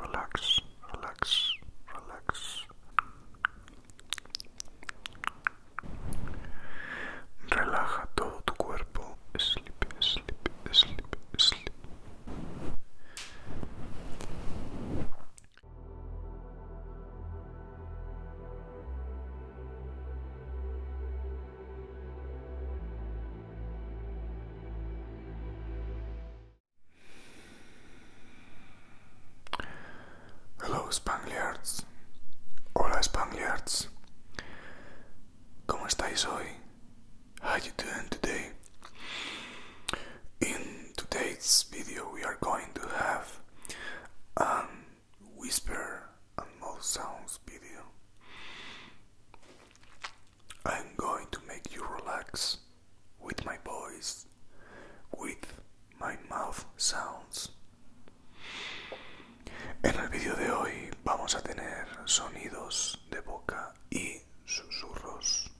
relax, relax, relax. Relaja todo tu cuerpo. Sleep, sleep, sleep, sleep. Hello Spangliards. Hola Spangliards. ¿Cómo estáis you doing today? In today's video we are going to have a whisper and mouth sounds video. I'm going to make you relax with my voice, with my mouth sounds. En el vídeo de hoy vamos a tener sonidos de boca y susurros.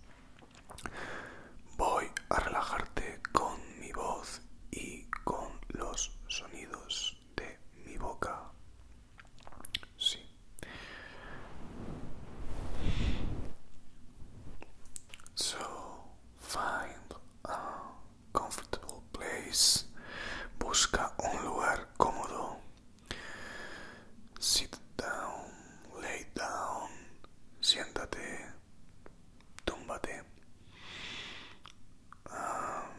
Voy a relajarte con mi voz y con los sonidos de mi boca. Sì. So find a comfortable place. Busca un lugar cómodo. Sit down, lay down, siéntate, túmbate. Um,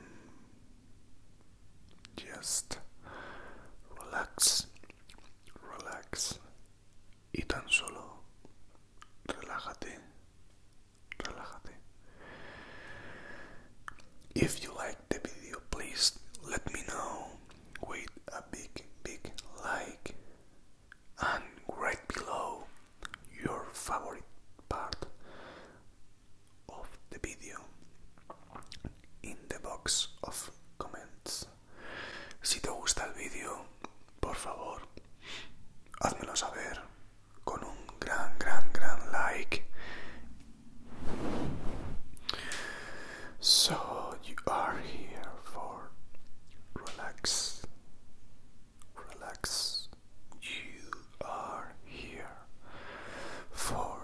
just relax, relax and tan solo Relax. If you like the video, please let me know with a big, big like and write below your favorite part of the video in the box of comments. Si te gusta el vídeo, por favor, házmelo saber con un gran, gran, gran like. So you are here for relax. Relax. You are here for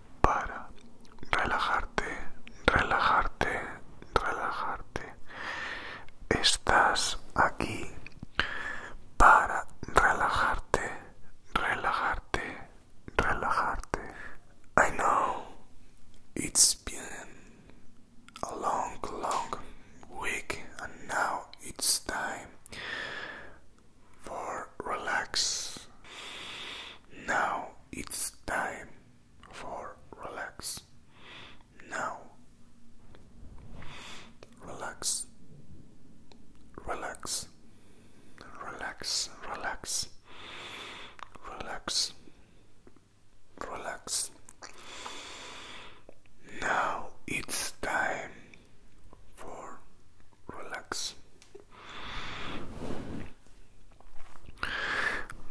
para relajarte, relajarte, relajarte. Estás aquí para relajarte, relajarte, relajarte. I know it's been a long, long week and now it's time for relax. Now it's time for relax. Now relax. Relax. Relax. Relax. Relax. Relax. Now it's time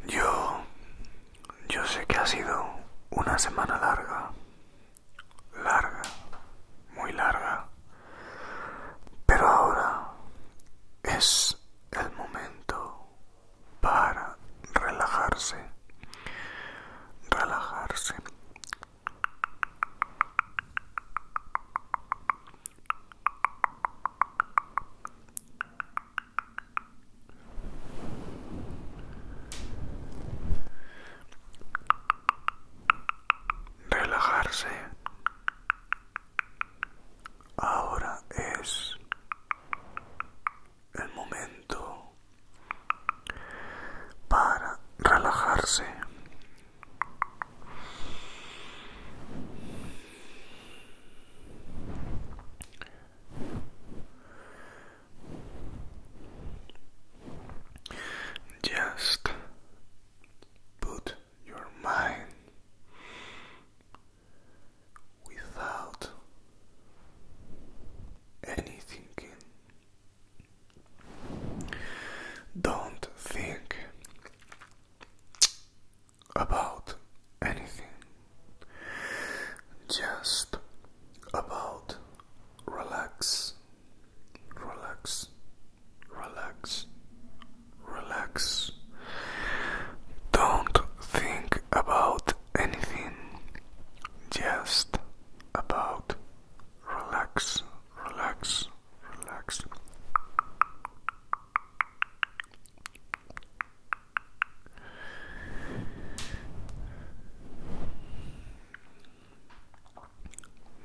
Yo, yo sé que ha sido una semana larga, larga, muy larga, pero ahora es el momento para relajarse, relajarse, Relajarse ahora es el momento para relajarse Just put your mind without any thinking don't think about anything, just about relax, relax, relax, relax. Don't think about anything, just about relax, relax, relax.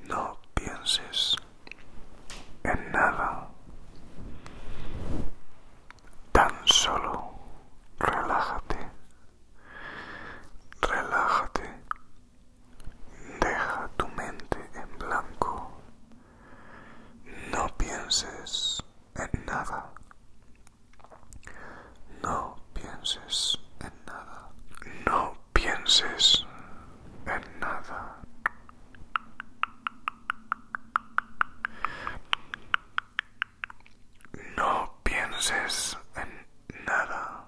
No pienses en nada. Tan solo relájate. Relájate. Deja tu mente en blanco. No pienses en nada. No pienses en nada. No pienses en nada. No pienses en nada.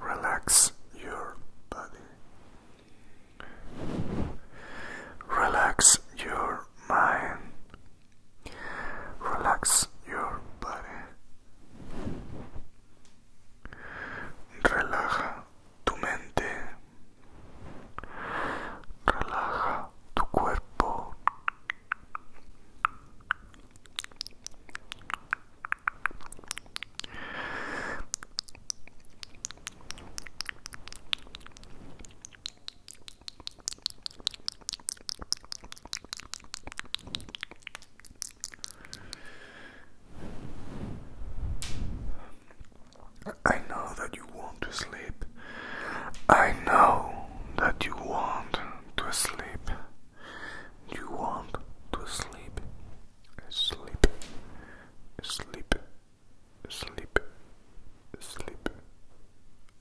Relax your body. Relax your mind. Relax your body. Relaja tu mente. Relaja tu cuerpo. I know that you want to sleep. I know that you want to sleep. You want to sleep, sleep, sleep, sleep, sleep.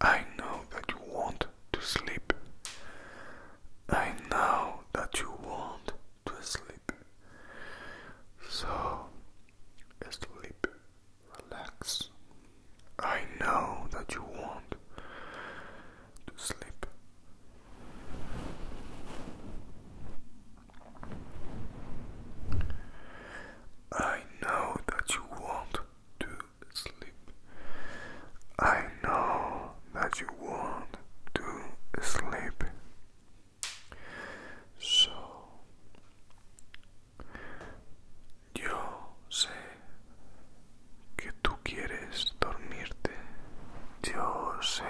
I know that you want to sleep. I know that you want to sleep. So, sleep, relax, I know that you want to sleep. I know that you want to sleep. I know that you want to sleep. So Yo sé que tú quieres dormirte. Yo sé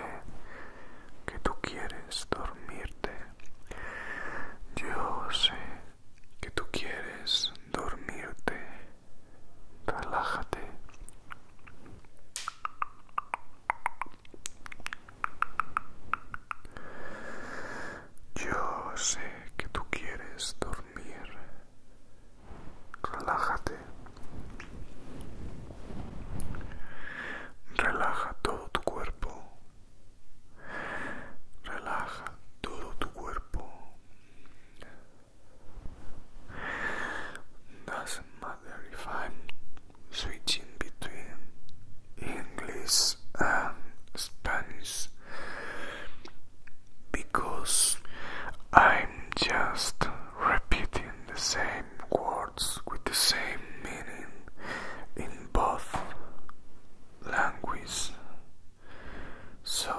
que tú quieres dormirte. Yo sé que tú quieres dormirte. Relájate. Yo sé que tú quieres dormirte. Relájate. Relaja todo tu cuerpo. Relaja todo tu cuerpo. Doesn't matter if switching between English and Spanish. because I'm just repeating the same words with the same meaning in both languages. So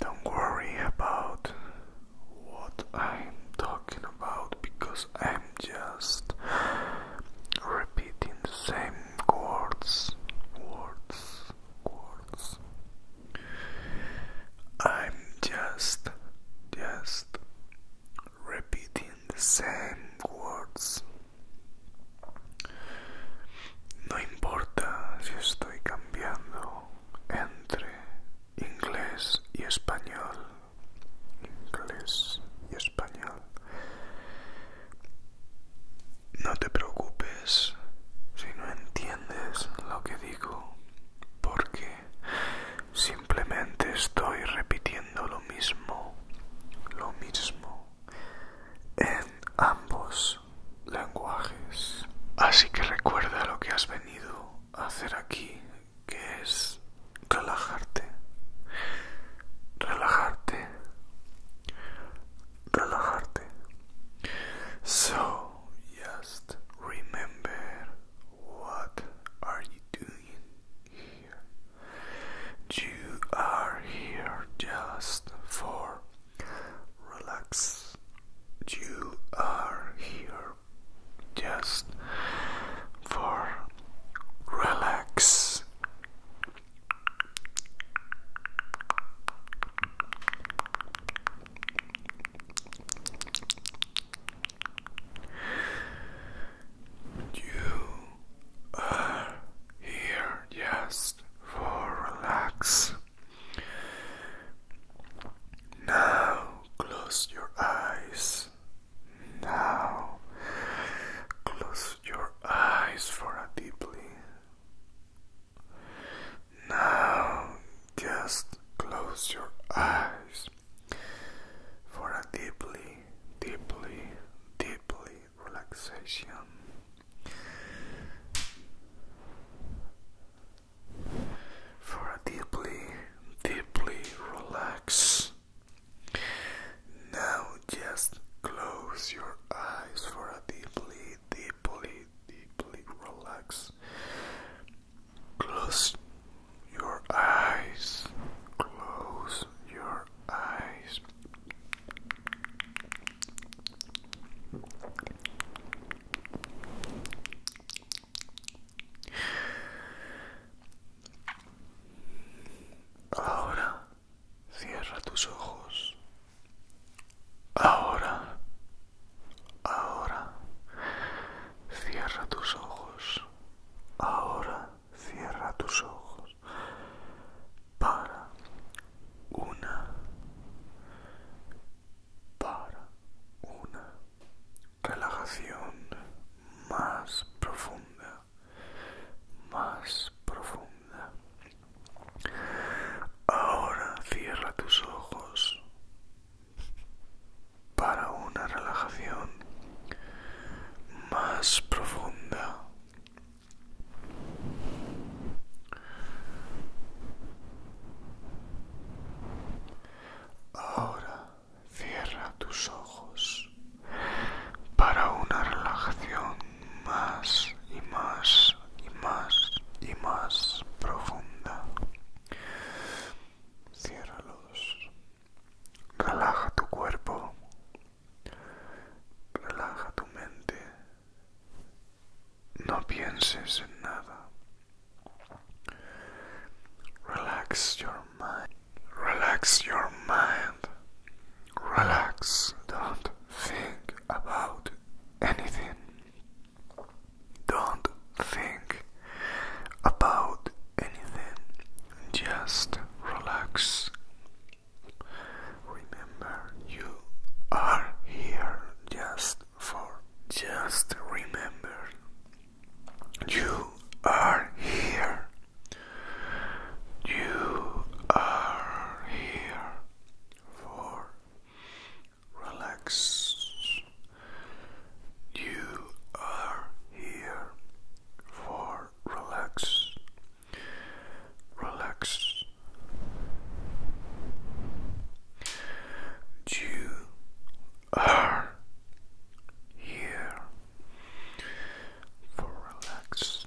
don't worry about what I'm talking about because I'm just repeating the same words words words. I'm just, just repeating the same words. No importa si estoy cambiando entre inglés y español, inglés y español. No te preocupes si no entiendes lo que digo, porque simplemente estoy repitiendo lo mismo, lo mismo, en ambos lenguajes. Así que recuerda lo que has venido a hacer aquí, que es relajarte, relajarte, So just remember what are you doing here? You are here just for relax. You are here just for relax. You are here just for relax. Now close your eyes. Now close your eyes for a deeply now just close your eyes for a deeply, deeply, deeply relaxation. For a deeply, deeply relax. Now just close your eyes for a deeply, deeply, deeply relax. Close your eyes. Close your eyes. Ahora Cierra tus ojos. Ahora, ahora, cierra tus ojos. Ahora, cierra tus ojos. Para, una, para, una relajación más profunda, más profunda. Ahora cierra tus ojos para una relajación más profunda. Ahora cierra tus ojos para una relajación más y más y más y más profunda. Ciérralos. Relaja tu cuerpo. Relaja tu mente. No pienses en nada. Relax your mind. Relax your mind. Relax, don't think about anything. Don't think about anything. Just relax. Remember, you are here just for just remember. You are here you are here for relax. You are here for relax. Relax. You are here for relax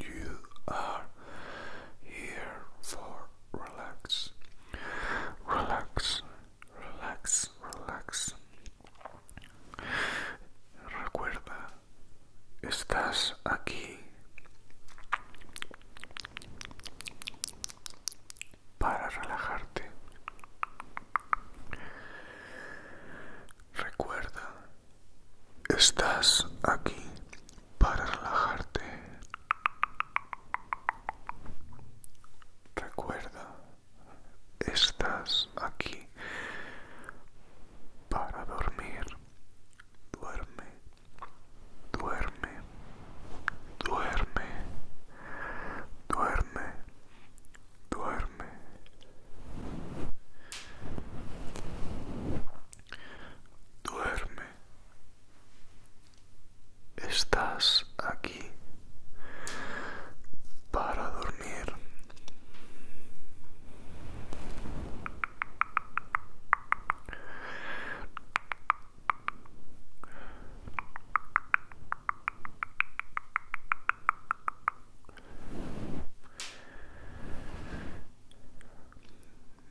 You are here for relax, relax, relax, relax. Recuerda, estás aquí para relajarte. Recuerda, estás aquí para relajarte. Recuerda, estás aquí para dormir. Duerme, duerme, duerme, duerme, duerme duerme estás aquí para dormir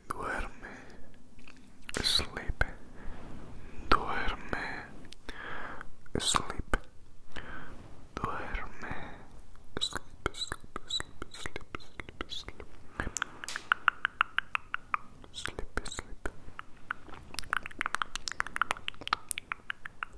Duerme, sleep, duerme, sleep, duerme, sleep, sleep, sleep, sleep, sleep, sleep, sleep, sleep.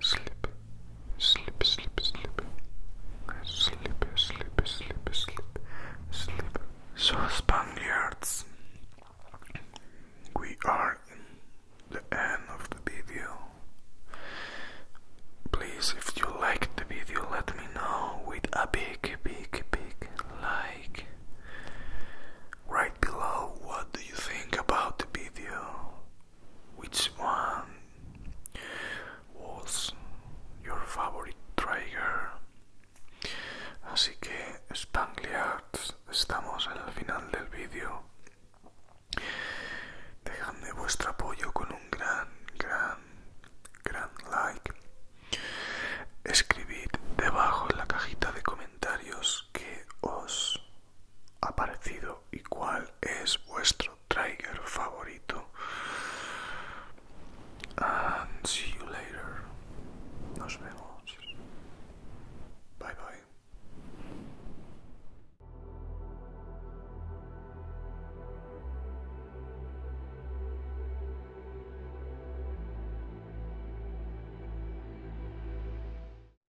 Sleep, sleep, sleep, sleep. Sleep, sleep, sleep, sleep. Sleep. So, Spaniards, we are in the end of the video. Please, if you like the video, let me know with a big, big, big like. Right below, what do you think about the video? Which one was your favorite trigger? Así que Spangliards, estamos en el final del vídeo. Dejadme vuestro apoyo con un gran, gran, gran like. Escribid debajo en la cajita de comentarios que os ha y cuál es vuestro trigger favorito. And see you later. Nos vemos. Bye bye.